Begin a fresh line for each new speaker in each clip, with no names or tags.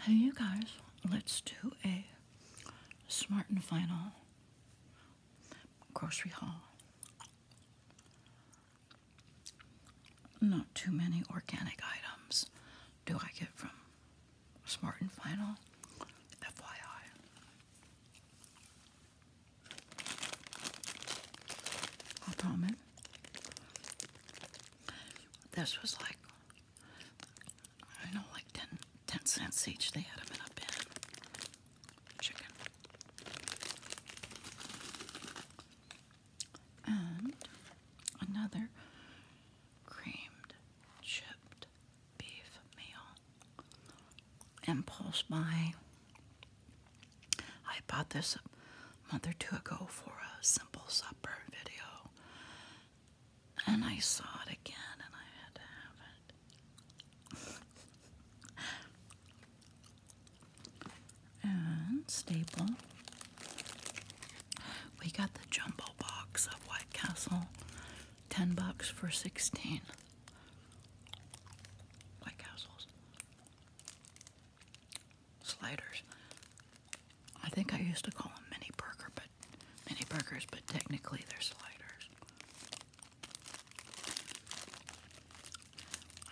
Hey, you guys, let's do a smart and final grocery haul. Not too many organic items do I get from smart and final, FYI. I'll this was like, I know, like 10, cents each. They had them in a bin. Chicken. And another creamed chipped beef meal. Impulse buy. I bought this a month or two ago for a simple supper video, and I saw it again, and I had to have it. and staple. We got the jumbo box of White Castle, ten bucks for sixteen. White Castles sliders. I think I used to call them mini burger, but mini burgers, but technically they're sliders.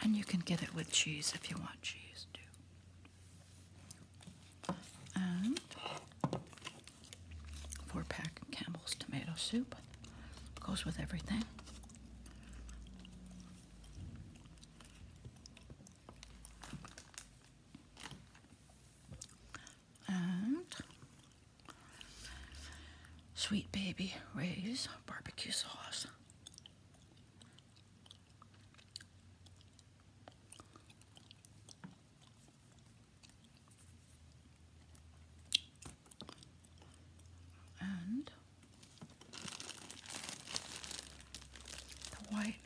And you can get it with cheese if you want cheese too. four pack Campbell's tomato soup goes with everything. And Sweet Baby Ray's barbecue sauce. And the white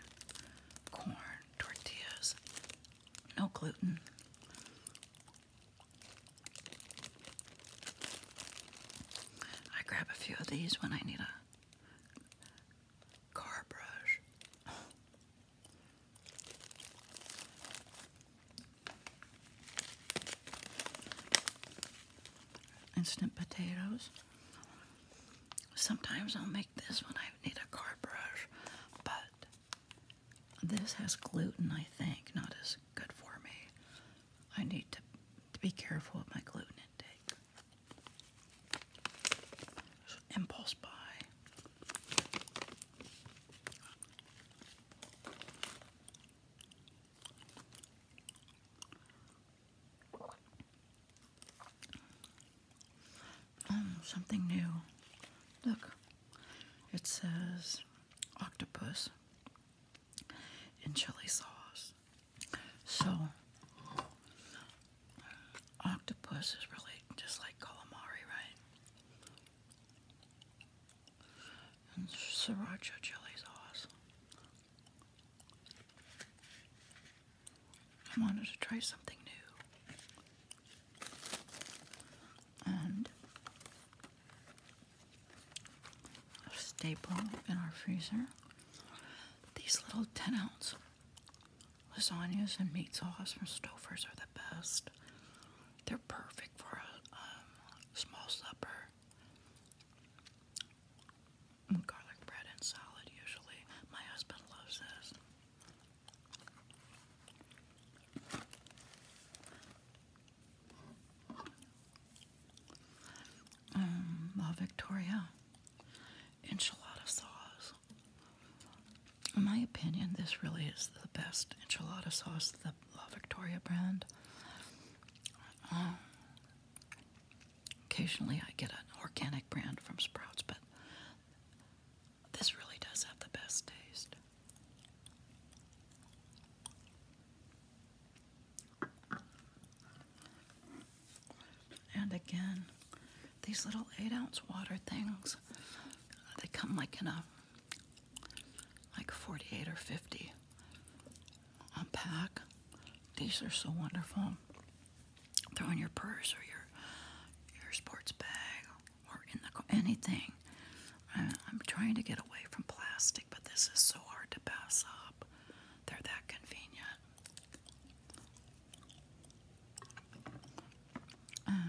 corn tortillas, no gluten. I grab a few of these when I need a car brush. Instant potatoes. Sometimes I'll make this when I need a car brush, but this has gluten, I think, not as good for me. I need to, to be careful with my gluten intake. impulse buy. Oh, something new. Look, it says octopus in chili sauce. So, octopus is really just like calamari, right? And sriracha chili sauce. I wanted to try something new. And a staple in our freezer these little 10 ounce lasagnas and meat sauce from Stouffer's are the best. They're perfect for a um, small supper garlic bread and salad usually. My husband loves this. Um, Victoria enchilada sauce. In my opinion, this really is the best enchilada sauce, the La Victoria brand. Um, Occasionally I get an organic brand from Sprouts, but this really does have the best taste. And again, these little eight ounce water things, they come like in a like 48 or 50 unpack. These are so wonderful. Throw in your purse or your your sports bag or in the anything. I, am trying to get away from plastic, but this is so hard to pass up. They're that convenient.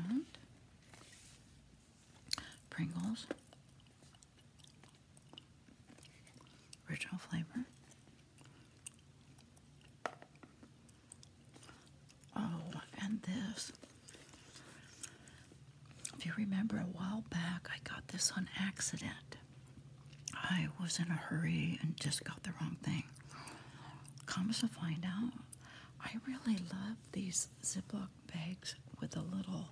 And Pringles, original flavor. Oh, and this. If you remember a while back, I got this on accident. I was in a hurry and just got the wrong thing. Comes to find out, I really love these Ziploc bags with a little,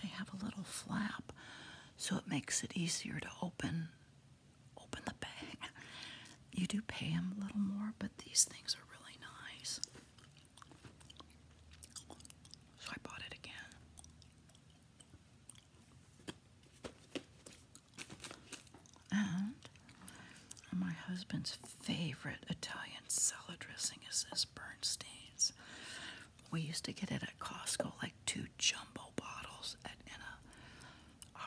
they have a little flap so it makes it easier to open open the bag. You do pay him a little more, but these things are really nice. So I bought it again. And my husband's favorite Italian salad dressing is this Bernstein's. We used to get it at Costco like two jumbo bottles at, a,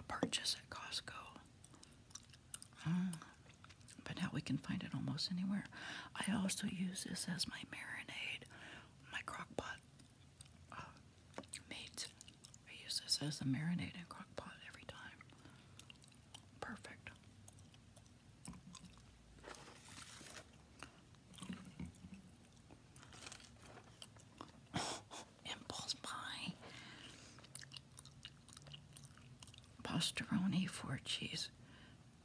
purchase at Costco. Mm. But now we can find it almost anywhere. I also use this as my marinade, my crock pot uh, meat. I use this as a marinade in crock pot every time. Perfect. Impulse pie, pastaroni, four cheese,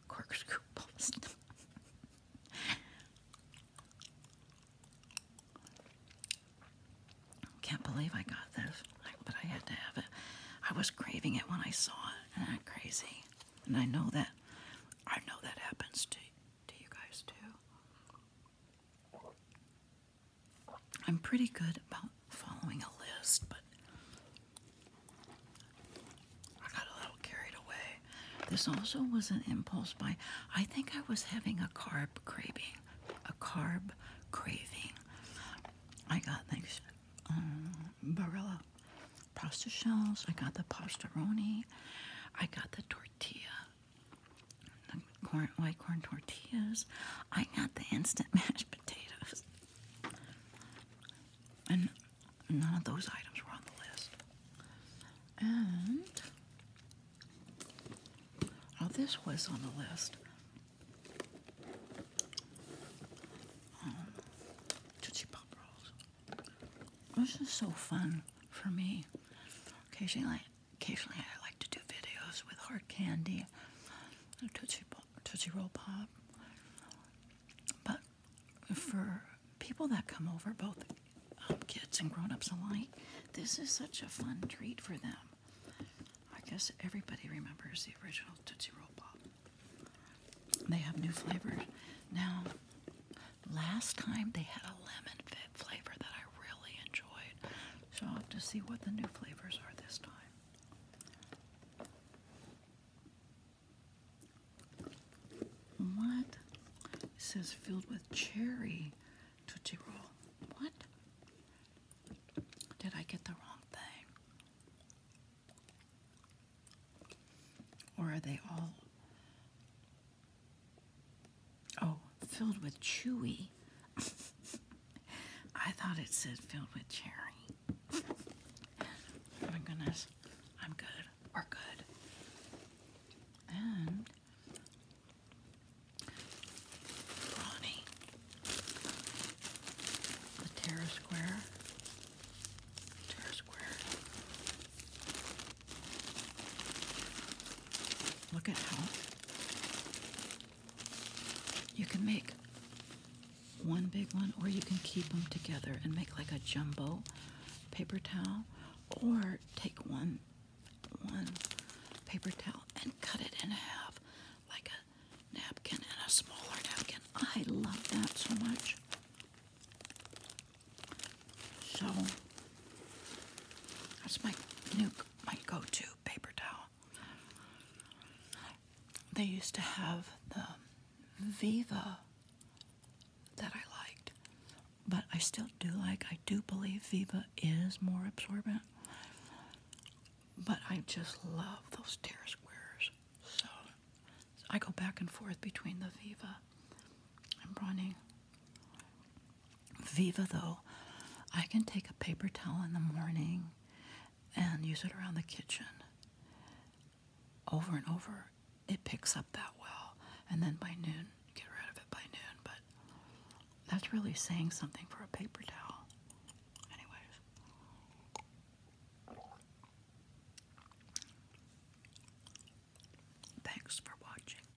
corkscrew pasta. Can't believe I got this, but I had to have it. I was craving it when I saw it, and i crazy. And I know that, I know that happens to to you guys too. I'm pretty good about following a list, but I got a little carried away. This also was an impulse buy. I think I was having a carb craving. A carb craving. I got things um, Barilla pasta shells. I got the pastaroni. I got the tortilla. The white corn tortillas. I got the instant mashed potatoes. And none of those items were on the list. And. Oh, this was on the list. Um, Pop Rolls. This is so fun for me. Occasionally, Occasionally, I like to do videos with hard candy, Tootsie, Tootsie Roll Pop. But for people that come over, both um, kids and grown ups alike, this is such a fun treat for them. I guess everybody remembers the original Tootsie Roll Pop. They have new flavors now. Last time they had a lemon fit flavor that I really enjoyed. So I'll have to see what the new flavors are this time. What? says filled with cherry tutti Roll. What? Did I get the wrong thing? Or are they all Oh, filled with chewy. I thought it said filled with cherry. oh my goodness. I'm good. We're good. And Bonnie. The Terra Square. Terra Square. Look at how you can make one big one, or you can keep them together and make like a jumbo paper towel, or take one one paper towel and cut it in half like a napkin and a smaller napkin. I love that so much. So that's my nuke, my go-to paper towel. They used to have the Viva that I liked, but I still do like. I do believe Viva is more absorbent, but I just love those tear squares. So, I go back and forth between the Viva and Bronning. Viva, though, I can take a paper towel in the morning and use it around the kitchen over and over. It picks up that well, and then by noon, get rid of it by noon. But that's really saying something for a paper towel. Anyways, thanks for watching.